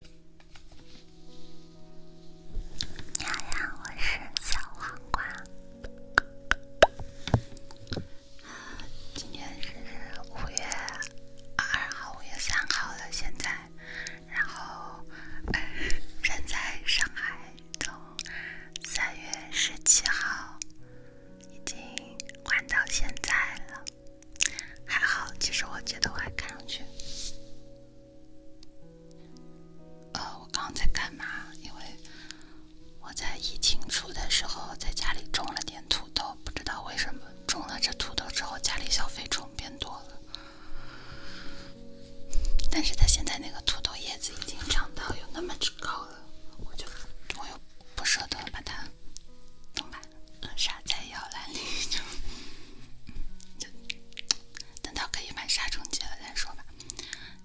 你好呀，我是小黄瓜。今天是五月二号、五月三号了，现在，然后，人在上海，从三月十七号已经玩到现在了。还好，其实我觉得我还看上去。呃，我刚刚在干嘛？因为我在疫情初的时候在家里种了点土豆，不知道为什么种了这土豆之后家里小飞虫变多了。但是它现在那个土豆叶子已经长到有那么之高了，我就我又不舍得把它弄烂。杀在摇篮里，就等到可以买杀虫剂了再说吧。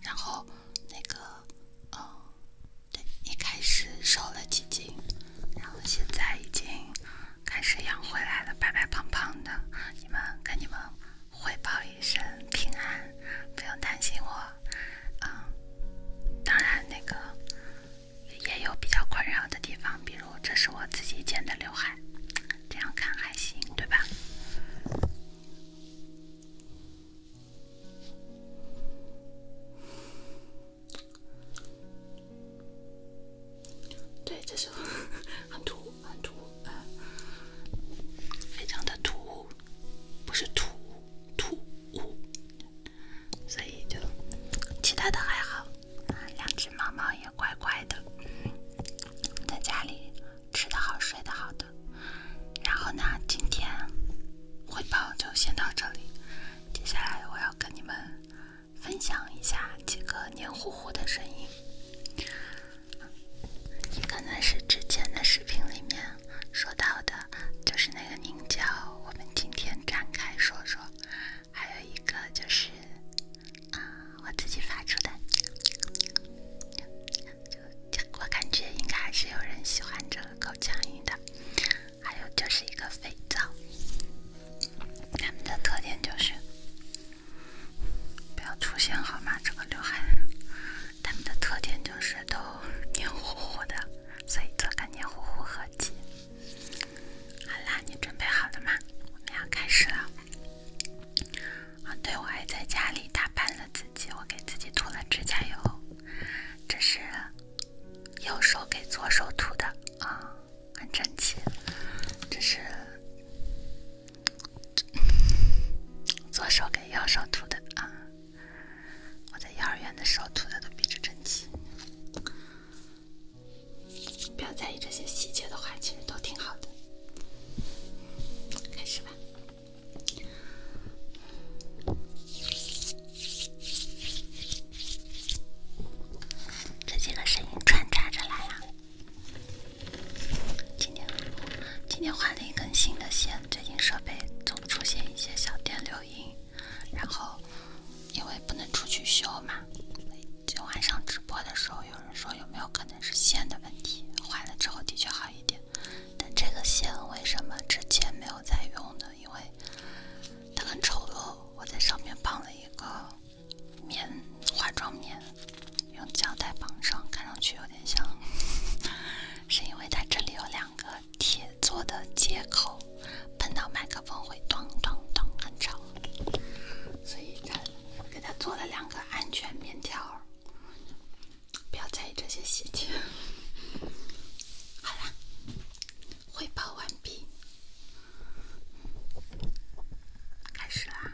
然后那个，嗯，对，一开始瘦了几斤，然后现在已经开始养回来了，白白胖胖的。你们跟你们汇报一声平安，不用担心我。嗯，当然那个。也有比较困扰的地方，比如这是我自己剪的刘海，这样看还行，对吧？对，这是很突，很突，非常的突，不是突突兀，所以就其他的还好。两只猫猫也乖乖的，在家里吃得好，睡得好的。然后呢，今天汇报就先到这里。接下来我要跟你们分享一下几个黏糊糊的声音，也可能是之前的视频里面说到的，就是那个凝胶。我们今天展开说说。还有一个就是啊，我自己发出的，我感觉应该还是有人喜欢这个口腔音的。还有就是一个肥皂，它们的特点就是不要出现好吗？这个刘海，它们的特点就是都黏糊糊的，所以做个黏糊糊合集。好啦，你准备好了吗？我们要开始了。啊，对，我还在家里打扮了自己，我给自己涂了指甲油，这是右手给左手涂的啊，很整齐。这是左手给右手涂的啊，我在幼儿园的时候涂的都比这整齐。不要在意这些细节的话，其实都挺好的。开始吧，这几个声音穿插着来啊。今天今天换了一根新的线，最近设备总出现一些小电流音。然后，因为不能出去修嘛，就晚上直播的时候，有人说有没有可能是线的问题，换了之后的确好一点。但这个线为什么之前没有在用呢？因为它很丑陋，我在上面绑了一个棉化妆棉，用胶带绑上，看上去有点像。是因为它这里有两个铁做的接口。碰到麦克风会咚咚咚很吵，所以他给他做了两个安全面条不要在意这些细节。好啦，汇报完毕，开始啦。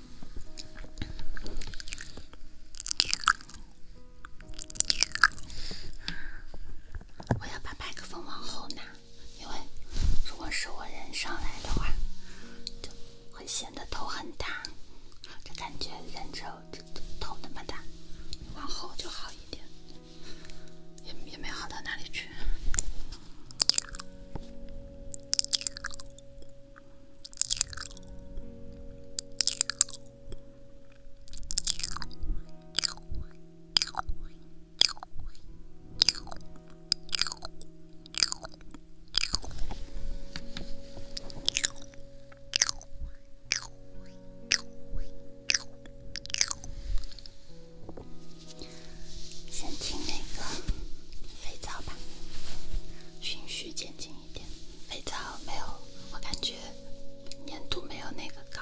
我要把半个风往后拿，因为如果是我人上来的话，就会显得头很大。这感觉人之后这头那么大，往后就好一点，也也没好到哪里去。先听那个肥皂吧，循序渐进。一点肥皂没有，我感觉粘度没有那个高。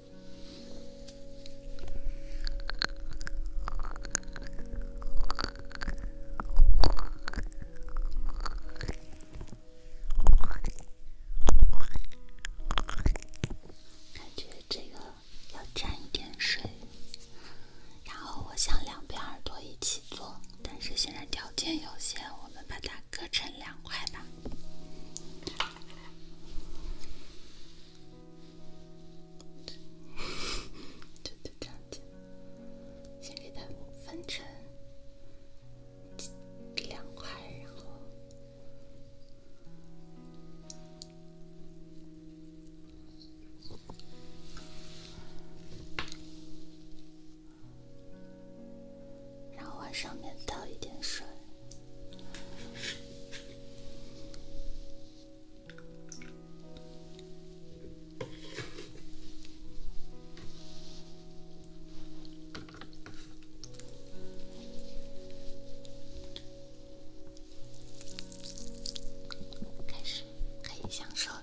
感觉这个要沾一点水，然后我想两边耳朵一起做，但是现在条件有限，我们把它割成两块吧。就就这样子，先给它分成两块，然后，然后往上面倒一点水。开始，可以享受了。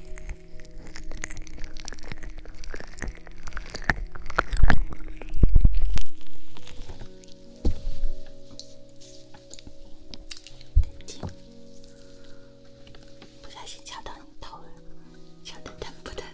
对不不小心敲到你头了，敲得疼不疼？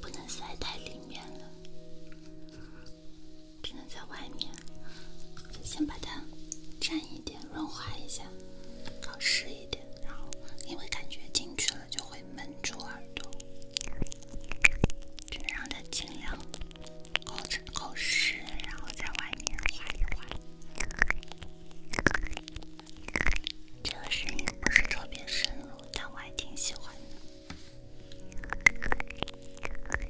不能塞太里面了。只能在外面，先把它蘸一点，润滑一下，搞湿一点，然后因为感觉进去了就会闷住耳朵，只能让它尽量搞成搞湿，然后在外面滑一滑。这个声音不是特别深入，但我还挺喜欢的。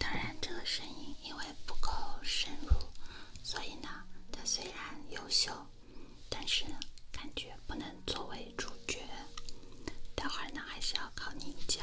当然，这个声音因为不够深入，所以呢，它虽然优秀，但是呢，感觉不能作为主角。待会儿呢，还是要靠你教。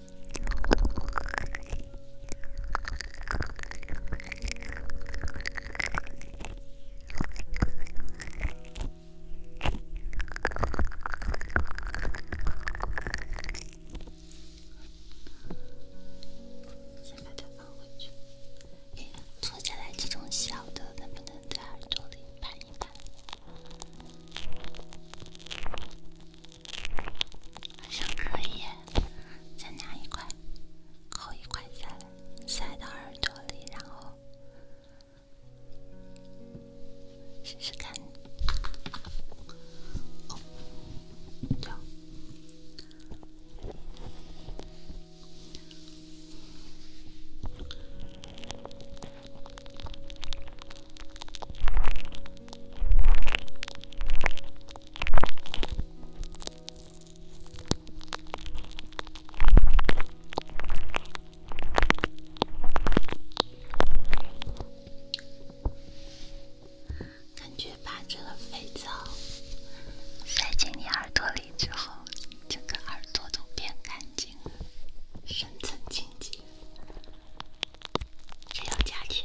先把它放回去。做下来这种小的，能不能在耳朵里摆一摆？好像可以，再拿一块，扣一块下来，塞到耳朵里，然后试试看。哦，就。感觉把这个肥皂塞进你耳朵里之后，整个耳朵都变干净了，深层清洁。只有家庭。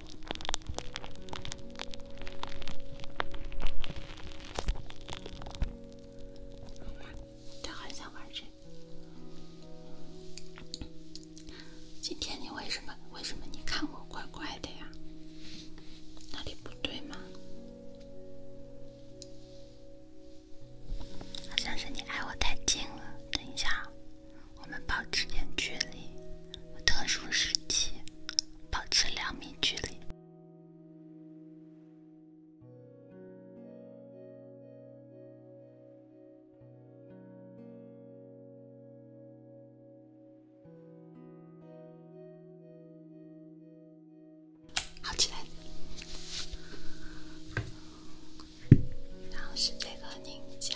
我好想玩这个。今天你为什么为什么你看我怪怪的呀？哪里不对吗？好像是你挨我太近了。等一下，我们保持点距离，特殊时期。保持两米距离。好起来，然后是这个凝胶。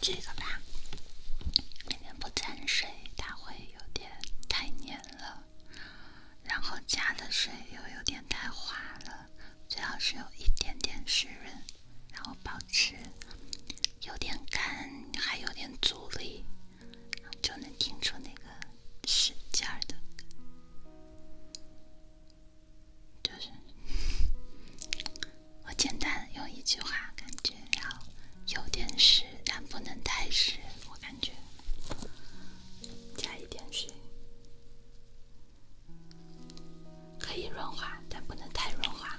这个吧，里面不沾水，它会有点太黏了；然后加的水又有点太滑了，最好是有一点点湿润，然后保持有点干还有点阻力，就能听出那个使劲儿的。就是我简单用一句话，感觉要有点湿，但不能太湿。我感觉加一点水可以润滑，但不能太润滑。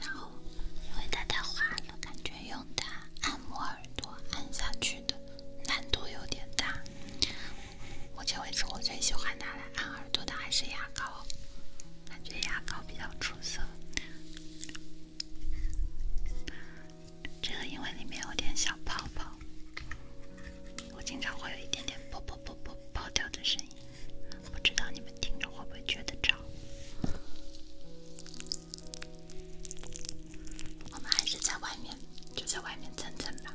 然后，因为它太滑了，感觉用它按摩耳朵按下去的难度有点大。目前为止，我最喜欢拿来按耳朵的还是牙膏，感觉牙膏比较出色。这个因为里面有点小泡泡。我经常会有一点点破破破破爆掉的声音，不知道你们听着会不会觉得吵？我们还是在外面，就在外面蹭蹭吧。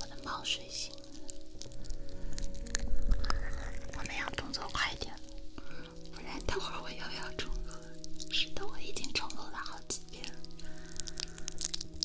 我的猫睡醒了，我们要动作快一点，不然等会儿我又要重录。了。是的，我已经重录了好几遍了。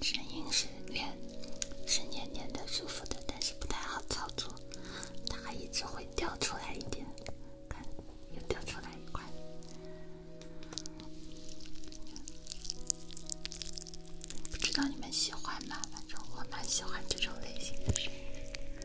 声音是粘，是黏黏的、舒服的，但是不太好操作，它一直会掉出来一点，看又掉出来一块。不知道你们喜欢吗？反正我蛮喜欢这种类型的声音。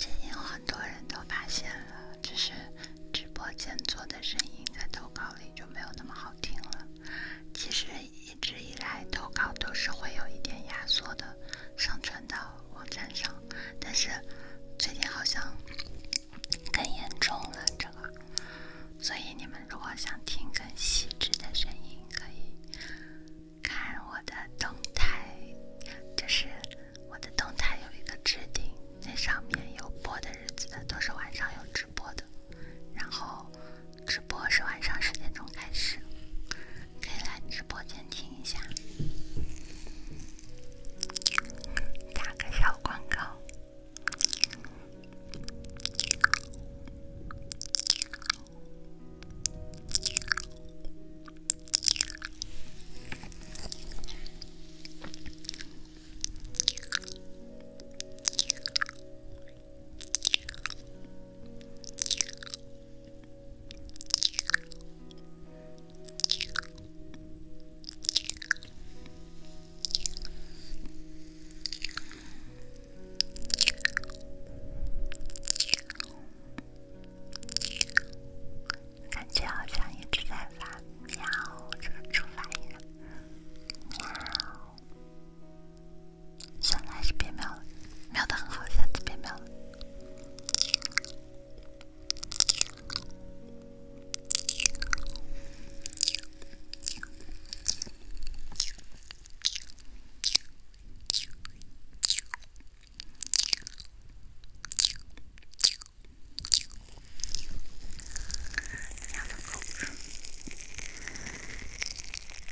最近有很多人都发现了，就是直播间做的声音在投稿里就没有那么好听了。其实一直以来，投稿都是会有一点压缩的，上传到。网站上，但是最近好像更严重了这个，所以你们如果想听更细致的声音，可以看我的动态，就是我的动态有一个置顶，那上面有播的日子的都是晚上有直播的，然后直播是晚上十点钟开始。可以来直播间听一下，打个小广告。感觉好像一直在发喵，这个出反应。喵。算了，还是别瞄了。瞄的很好，下次别瞄了。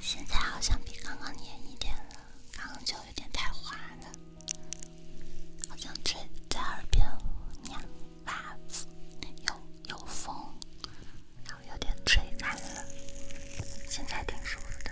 现在好像比刚刚黏一点了，刚刚就有点太滑了。好像吹在耳边，哇，有有风。然后有点吹残了，现在挺舒服的。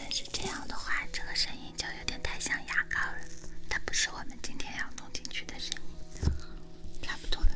但是这样的话，这个声音就……有点太像牙膏了，它不是我们今天要弄进去的声音，差不多了。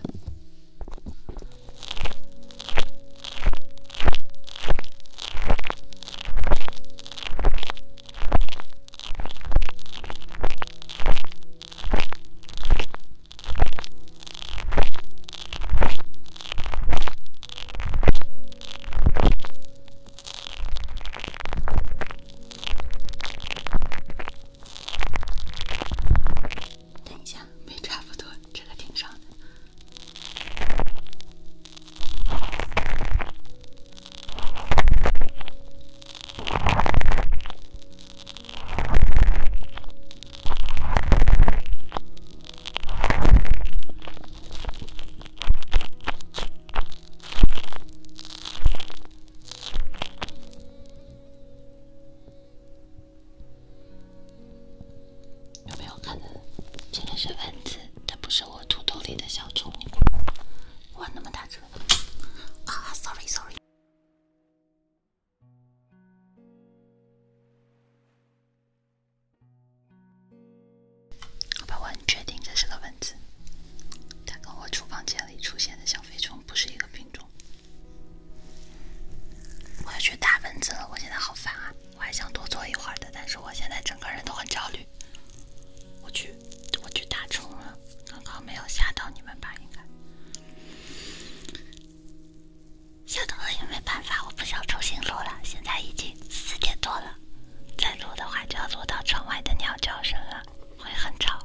等一下，没差不多，这个挺少的。有没有看的？这个是蚊子，它不是我土豆里的小虫。哇，那么大只！啊，sorry sorry。好吧，我很确定这是个蚊子。它跟我厨房间里出现的小飞虫不是一个品种。我要去打蚊子了，我现在好烦啊！我还想多坐一会儿的，但是我现在整个人都很焦虑。我去，我去打虫了。刚刚没有吓到你们吧？应该吓到了也没办法，我不想重新录了。现在已经四点多了，再录的话就要录到窗外的鸟叫声了。会很吵，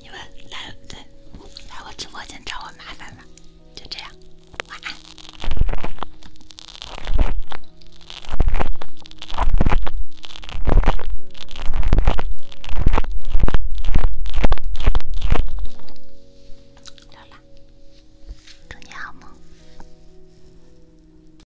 你们来对来我直播间找我麻烦吧。就这样，晚安，溜了，祝你好梦。